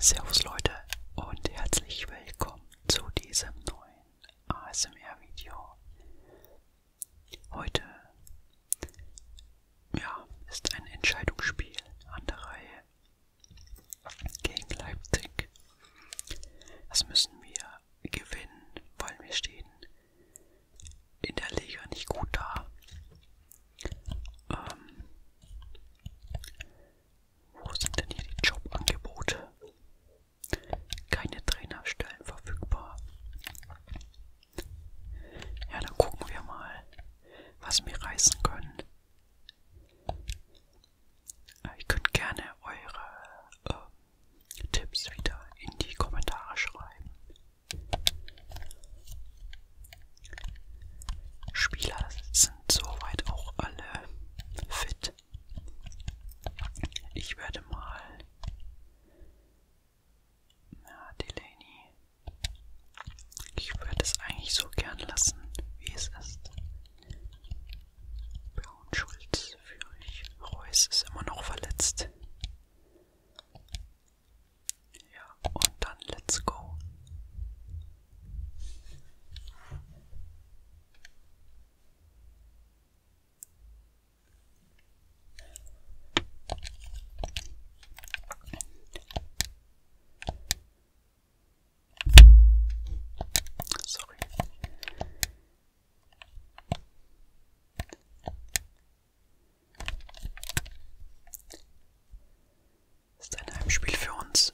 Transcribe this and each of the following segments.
Servus Leute und herzlich willkommen zu diesem neuen ASMR-Video. Heute ja, ist ein Entscheidungsspiel an der Reihe gegen Leipzig. Das müssen wir gewinnen, weil wir stehen in der Liga nicht gut da. Ähm, wo sind denn hier die Jobangebote? Keine Trainerstellen verfügbar. Ja, dann gucken wir mal, was wir reißen können. Äh, ihr könnt gerne eure ähm, Tipps wieder in die Kommentare schreiben. Spieler sind soweit auch alle fit. Ich werde mal ja, Delaney. Ich würde es eigentlich so gern lassen, wie es ist. Braun Schulz führe ich. Reus ist immer noch verletzt. Ja, und dann let's go. Sorry. Ist ein Heimspiel für uns.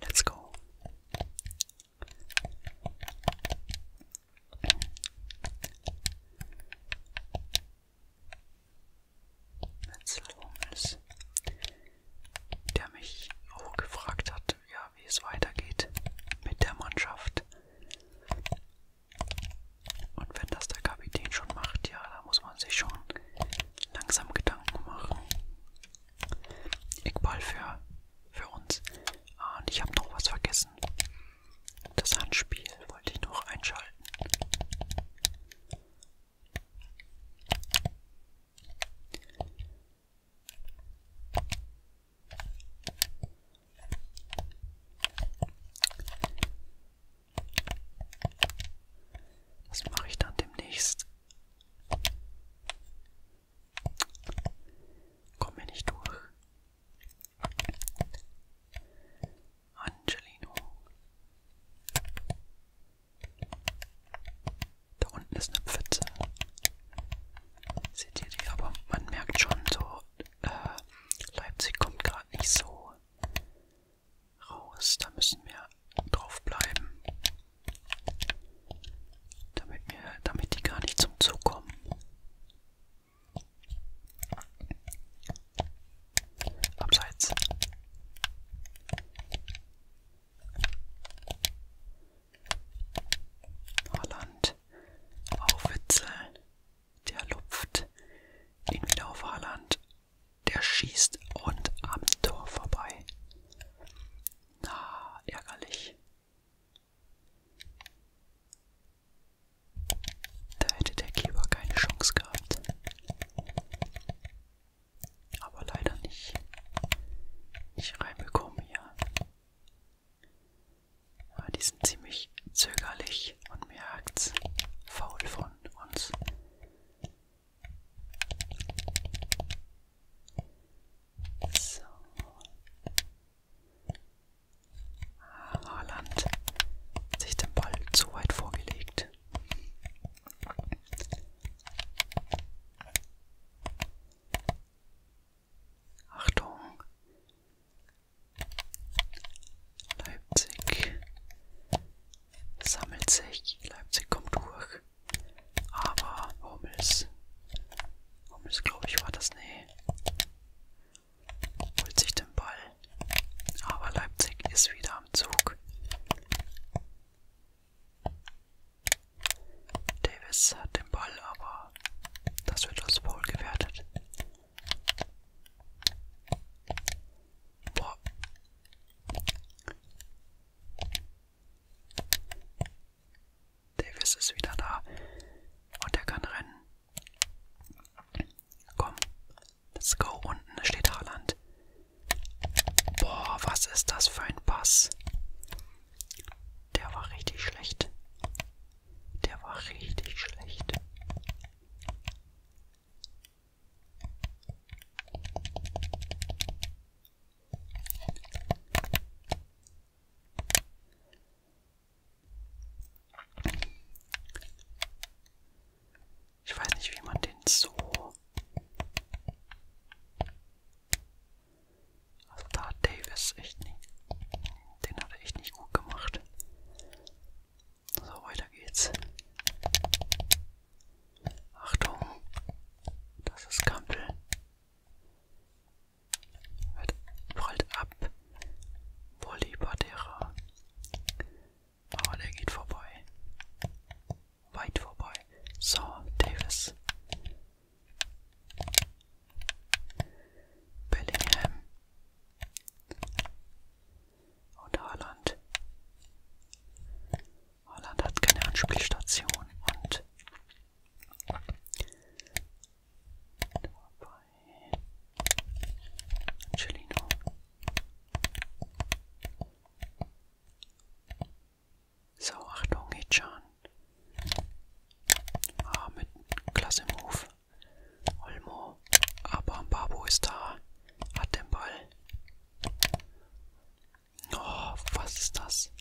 Let's go. Metzelhummels, der mich auch gefragt hat, ja, wie es weitergeht mit der Mannschaft. Und wenn das der Kapitän schon macht, ja, da muss man sich schon langsam Gedanken machen. Iqbal für für uns. Ah, und ich habe noch was vergessen. Das Handspiel wollte ich noch einschalten. Das mache ich dann demnächst. Komme nicht durch. Angelino. Da unten ist eine Pfütze. Seht ihr die? Aber man merkt schon so, äh, Leipzig kommt gerade nicht so raus. Da müssen wir drauf bleiben. Damit, wir, damit die gar nicht zum Zug kommen. Abseits. Haaland auf Witzel. Der lupft ihn wieder auf Haaland. Der schießt und am Tor vorbei. Na, ärgerlich. Da hätte der Keeper keine Chance gehabt. Aber leider nicht. Nicht reinbekommen hier. Ja, die sind ziemlich zögerlich und merkt's faul von uns. So. Haaland hat sich den Ball zu weit vorgelegt. Achtung! Leipzig sammelt sich, Leipzig kommt durch, aber Hummels, Hummels glaube ich war das, nee, holt sich den Ball. Aber Leipzig ist wieder am Zug. Davis hat den Ball, aber das wird als Foul gewertet. Boah. Davis ist wieder da und er kann rennen. Komm, let's go. Unten steht Haaland. Boah, was ist das für ein Pass? Der war richtig schlecht. Der war richtig schlecht. Ich weiß nicht, wie man den so... Also da hat Davis echt nicht... Den hat er echt nicht gut gemacht. So, weiter geht's. Achtung, das ist Kampel. Halt, prallt ab. Bolibadera. Aber der geht vorbei. Weit vorbei. So, Davis. Bellingham. Und Haaland. Haaland hat keine Anspielstation und here. Actually, not. So, Achtung, Hichan. Ah, mit klasse Move. Olmo. Aber Babo ist da. Hat den Ball. Oh, was ist das?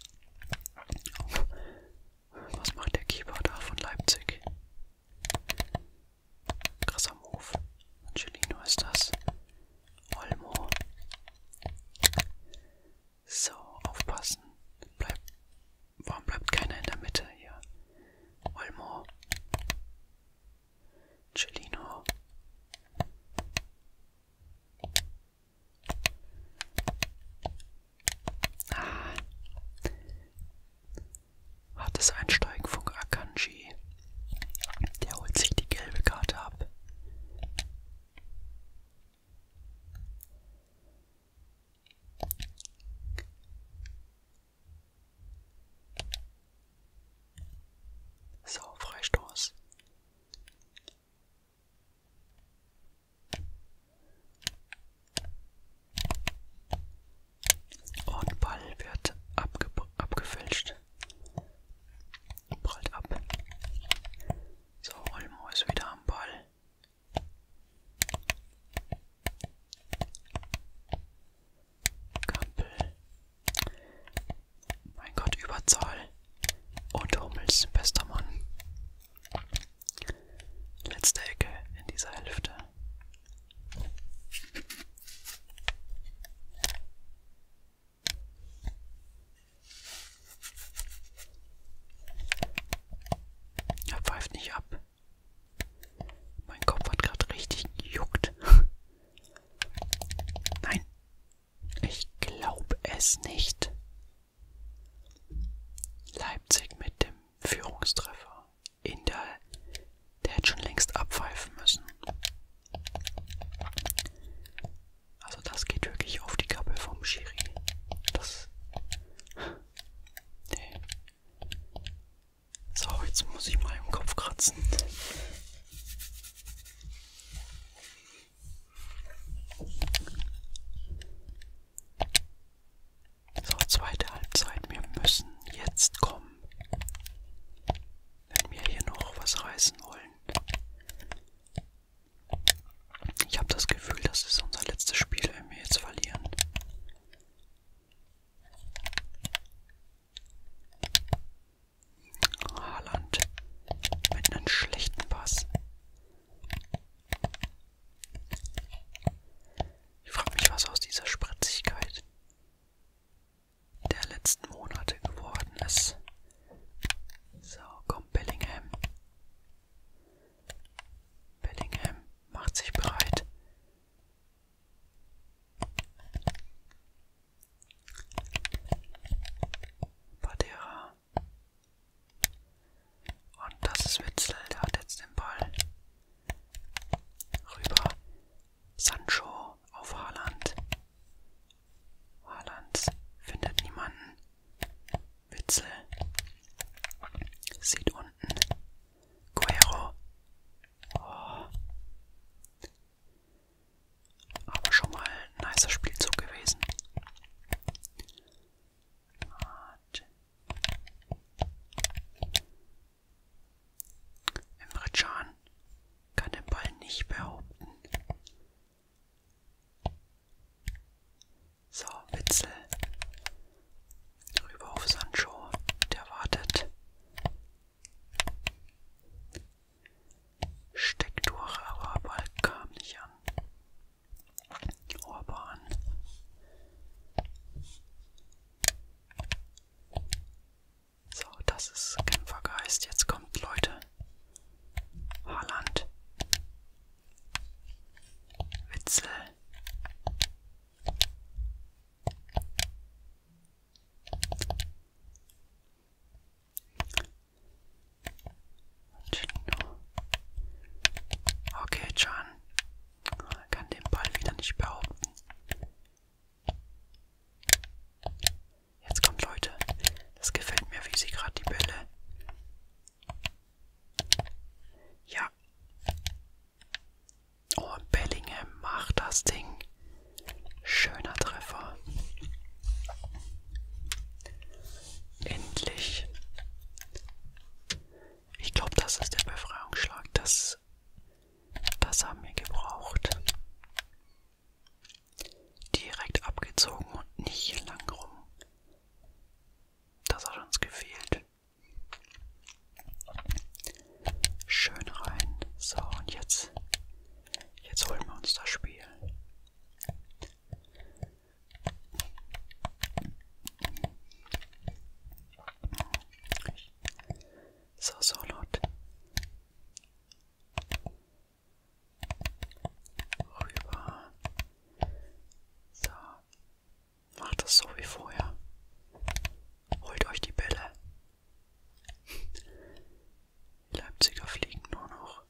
Was macht der Keeper da von Leipzig? Krasser Move. Angelino ist das. Olmo. So, aufpassen. Bleib. Warum bleibt keiner in der Mitte hier? Olmo. Angelino. Ah. Hat es Einsteigen von Akanji. Der holt sich die gelbe Karte ab. So, Freistoß. Und Ball wird abge abgefälscht. Prallt ab. So, Olmo ist wieder am Ball. Kampel. Mein Gott, Überzahl. Und Hummels, bester Mann. Letzte Ecke in dieser Hälfte. Er pfeift nicht ab. Mein Kopf hat gerade richtig gejuckt. Nein, ich glaube es nicht. Leipzig mit dem Führungstreffer in der. Der hätte schon längst abpfeifen müssen. Also, das geht wirklich auf die Kappe vom Schiri. Das. Nee. So, jetzt muss ich mal im Kopf kratzen. So, zweite Halbzeit. Wir müssen jetzt kommen. Wenn wir hier noch was reißen wollen. Ich habe das Gefühl, das ist unser letztes Spiel, wenn wir jetzt verlieren. Haaland mit einem schlechten Pass. Ich frage mich, was aus dieser Spritzigkeit der letzten Monate geworden ist. So, kommt Bellingham. Bellingham macht sich bereit. Badera. Und das ist Witzel, der hat jetzt den Ball rüber. Sancho auf Haaland. Haaland findet niemanden. Witzel sieht unten. Guero. Oh. Aber schon mal ein nicer Spielzug gewesen. Ah, Emre Can kann den Ball nicht behaupten. So, Witzel. Rüber auf Sancho, der wartet. Steckt durch, aber Ball kam nicht an. Orban. So, das ist Kämpfergeist. Jetzt kommt, Leute. Haaland. Witzel. Okay, Can. Kann den Ball wieder nicht behaupten. Jetzt kommt Leute. Das gefällt mir, wie sie gerade die Bälle. Ja. Oh, Bellingham macht das Ding. Schöner Treffer. Endlich. Ich glaube, das ist der Befreiungsschlag. Das Schwarz. Das haben wir gebraucht. Direkt abgezogen und nicht lang rum. Das hat uns gefehlt. Schön rein. So, und jetzt, jetzt holen wir uns das Spiel. So, so laut. Rüber. So. Macht das so wie vorher. Holt euch die Bälle. Die Leipziger fliegen nur noch.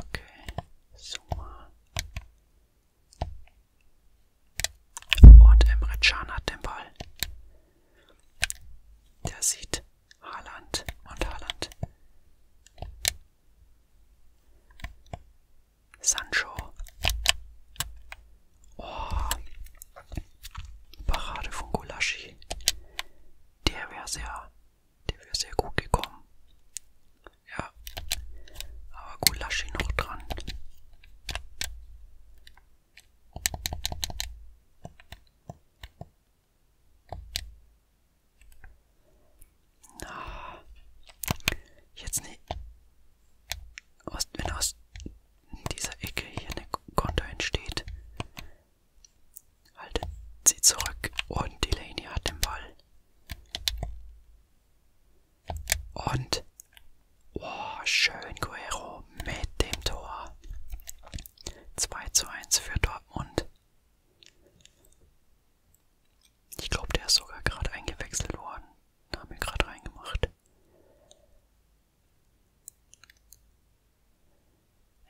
Okay, so mal. Und Emre Can hat den Ball. Der sieht Haaland und Haaland. Sancho. Oh. Parade von Gulaschi. Der wäre sehr, der wäre sehr gut gekommen. Ja. Aber Gulaschi noch dran. Na, jetzt nicht. Ne- aus, wenn aus in dieser Ecke hier eine Konter entsteht, haltet sie zurück und Delaney hat den Ball. Und, oh, schön Guerrero mit dem Tor. 2 zu 1 für Dortmund. Ich glaube, der ist sogar gerade eingewechselt worden. Da haben wir gerade reingemacht.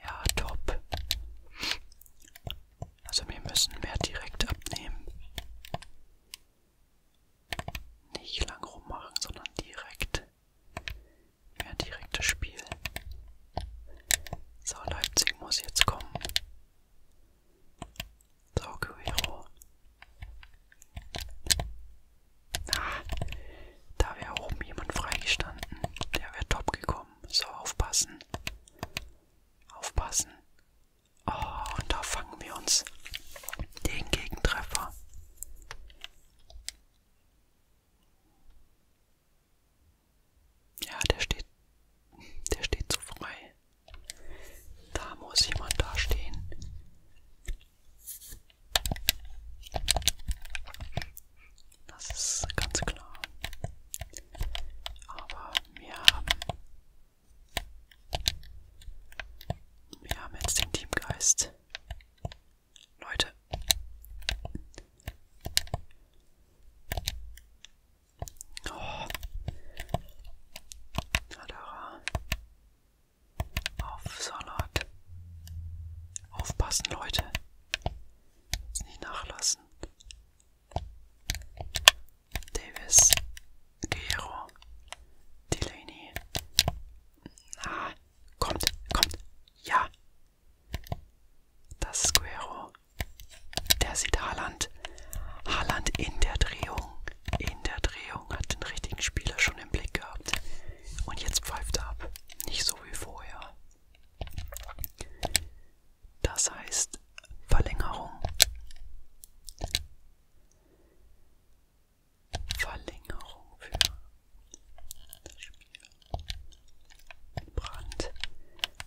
Ja, top. Also wir müssen mehr direkt abnehmen. Nicht lang rummachen, sondern direkt. Mehr direktes Spiel. So, Leipzig muss jetzt kommen. So, Guerrero. Ah, da wäre oben jemand freigestanden. Der wäre top gekommen. So, aufpassen. Aufpassen. Oh, und da fangen wir uns den Gegentreffer. Ja, der steht. Der steht zu frei. Da muss jemand da stehen. Das ist ganz klar. Aber wir haben, wir haben jetzt den Teamgeist. Leute. Oh. Adara auf Salat. Aufpassen, Leute. Jetzt nicht nachlassen. Davis, Guerrero, Delaney. Ah, kommt, kommt. Ja. Das ist Guerrero. Der sieht Haaland. Haaland in der Drehung in der Drehung, hat den richtigen Spieler schon im Blick gehabt. Und jetzt pfeift er ab. Nicht so wie vorher. Das heißt Verlängerung. Verlängerung für das Spiel. Brand.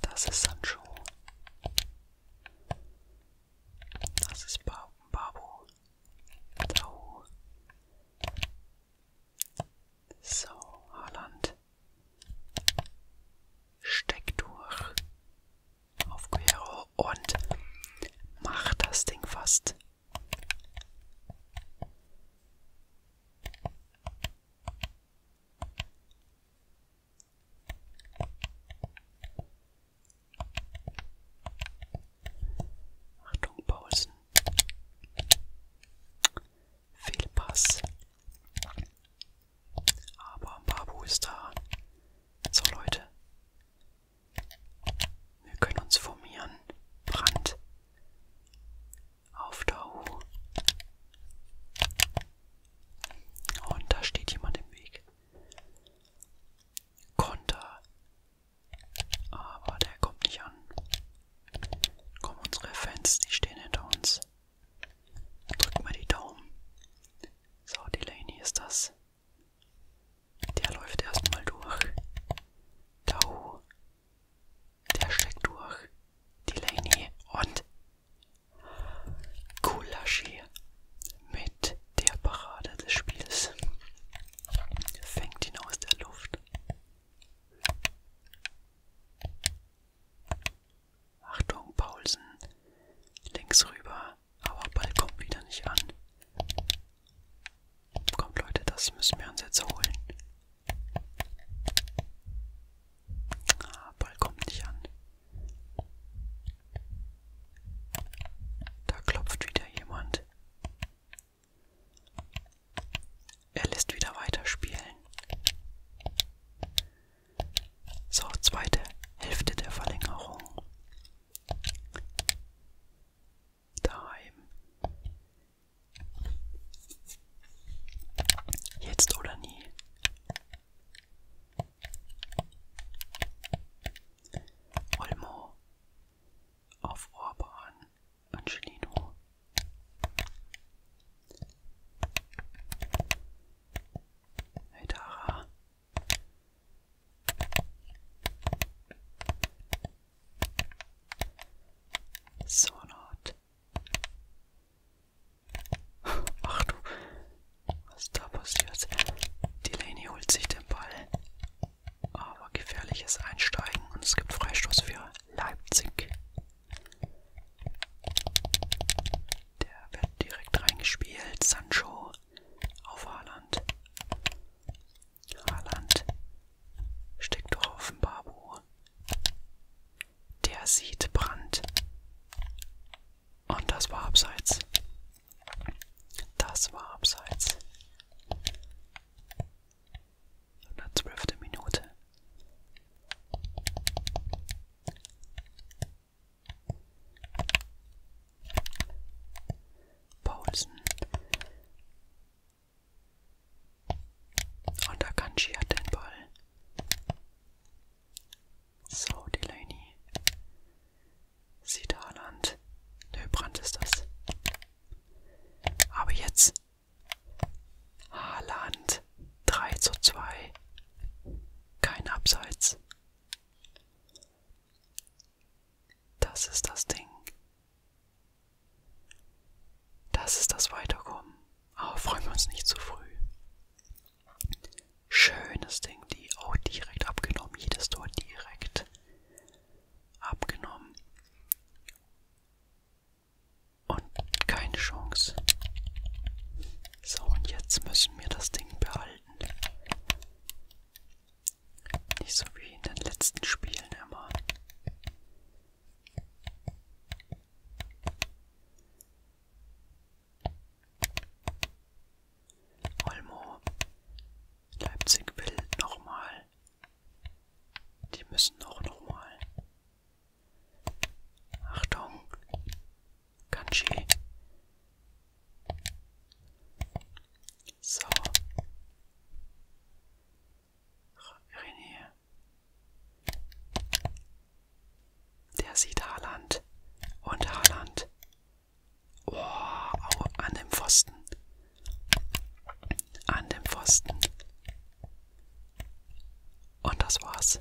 Das ist Sancho. Das ist Babo. So. So, Haaland. Steck durch auf Guerrero und mach das Ding fast. Achtung, Paulsen. Fehlpass. Aber Babu ist da. So Leute. Wir können uns formieren. Brand. Auf der U. Und da steht jemand im Weg. Konter. Aber der kommt nicht an. Kommen unsere Fans, die stehen hinter uns. Drückt mal die Daumen. So, Delaney ist das. Der läuft erstmal durch. Tau. Oh. Der steckt durch. Delaney und Kulaschi mit der Parade des Spiels. Fängt ihn aus der Luft. Achtung, Paulsen. Links rüber, aber Ball kommt wieder nicht an. Kommt Leute, das müssen wir uns jetzt holen. Ah, Ball kommt nicht an. Da klopft wieder jemand. Er lässt wieder weiterspielen. So, zweite Hälfte der Verlängerung. Daheim. Jetzt oder nie. Olmo auf Orban Angelino. Heidara. Sonat. Ach du, was da passiert. Delaney holt sich den Ball aber gefährliches Einsteigen und es gibt Freistoß für Leipzig. Der wird direkt reingespielt. Sancho auf Haaland. Haaland steckt durch auf den Babu. Der sieht Brand. Und das war abseits. Das war abseits. In der zwölften Minute. Paulsen. Und Akanji hat den Ball. So, Delaney. Sieht Haaland. Der Brand ist das. Aber jetzt Haaland 3 zu 2. Kein Abseits. Das ist das Ding. Das ist das Weiterkommen. Aber freuen wir uns nicht zu früh. Schönes Ding, die auch direkt abgenommen. Jedes Tor direkt abgenommen. Und keine Chance. So, und jetzt müssen wir das Ding behalten. Nicht so wie in den letzten Spielen immer. Olmo. Leipzig will nochmal die müssen auch nochmal. Achtung. Kanji. So. René. Der sieht Haaland. Und Haaland. Oh, an dem Pfosten an dem Pfosten. Und das war's.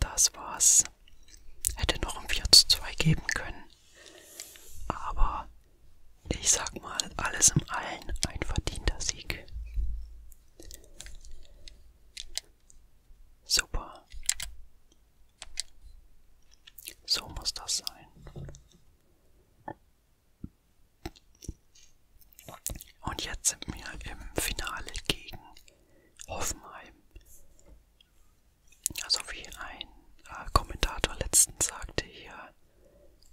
Das war's. Hätte noch ein 4 zu 2 geben können. Aber ich sag mal, alles im Allen ein verdienter Sieg. Super. So muss das sein. Und jetzt sind wir im Finale gegen Hoffenheim. Also wie ein äh, Kommentator letztens sagte hier,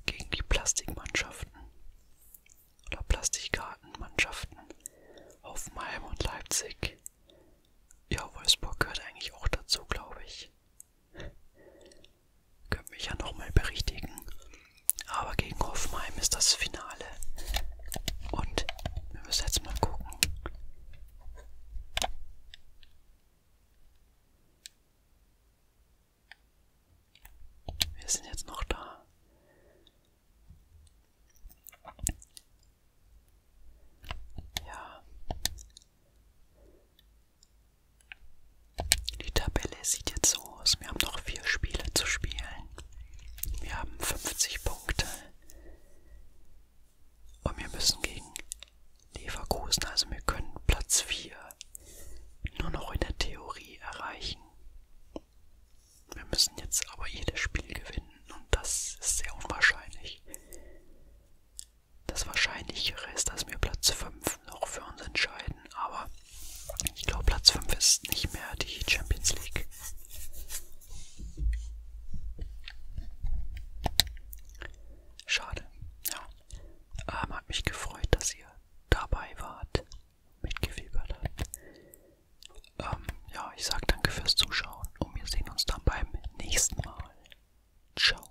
gegen die Plastikmannschaften oder Plastikgartenmannschaften Hoffenheim und Leipzig. Ja, Wolfsburg gehört eigentlich auch dazu, glaube ich. Können mich ja nochmal berichtigen. Aber gegen Hoffenheim ist das Finale. Und wir müssen jetzt mal gucken. Wir sind jetzt noch da. Ja. Die Tabelle sieht jetzt so aus. Wir haben noch vier Spiele zu spielen. Wir haben 50 Punkte. Und wir müssen gegen Leverkusen, also wir können Platz 4 nur noch in der Theorie erreichen. Wir müssen jetzt aber jedes Spiel gewinnen und das ist sehr unwahrscheinlich. Das Wahrscheinlichere ist, dass wir Platz 5 noch für uns entscheiden, aber ich glaube, Platz 5 ist nicht mehr die Champions League. Schade. Ja. Ähm, hat mich gefreut, dass ihr dabei wart, mitgefiebert habt. Ähm, ja, ich sage danke fürs Zuschauen und wir sehen uns dann beim nächsten Mal. Ciao.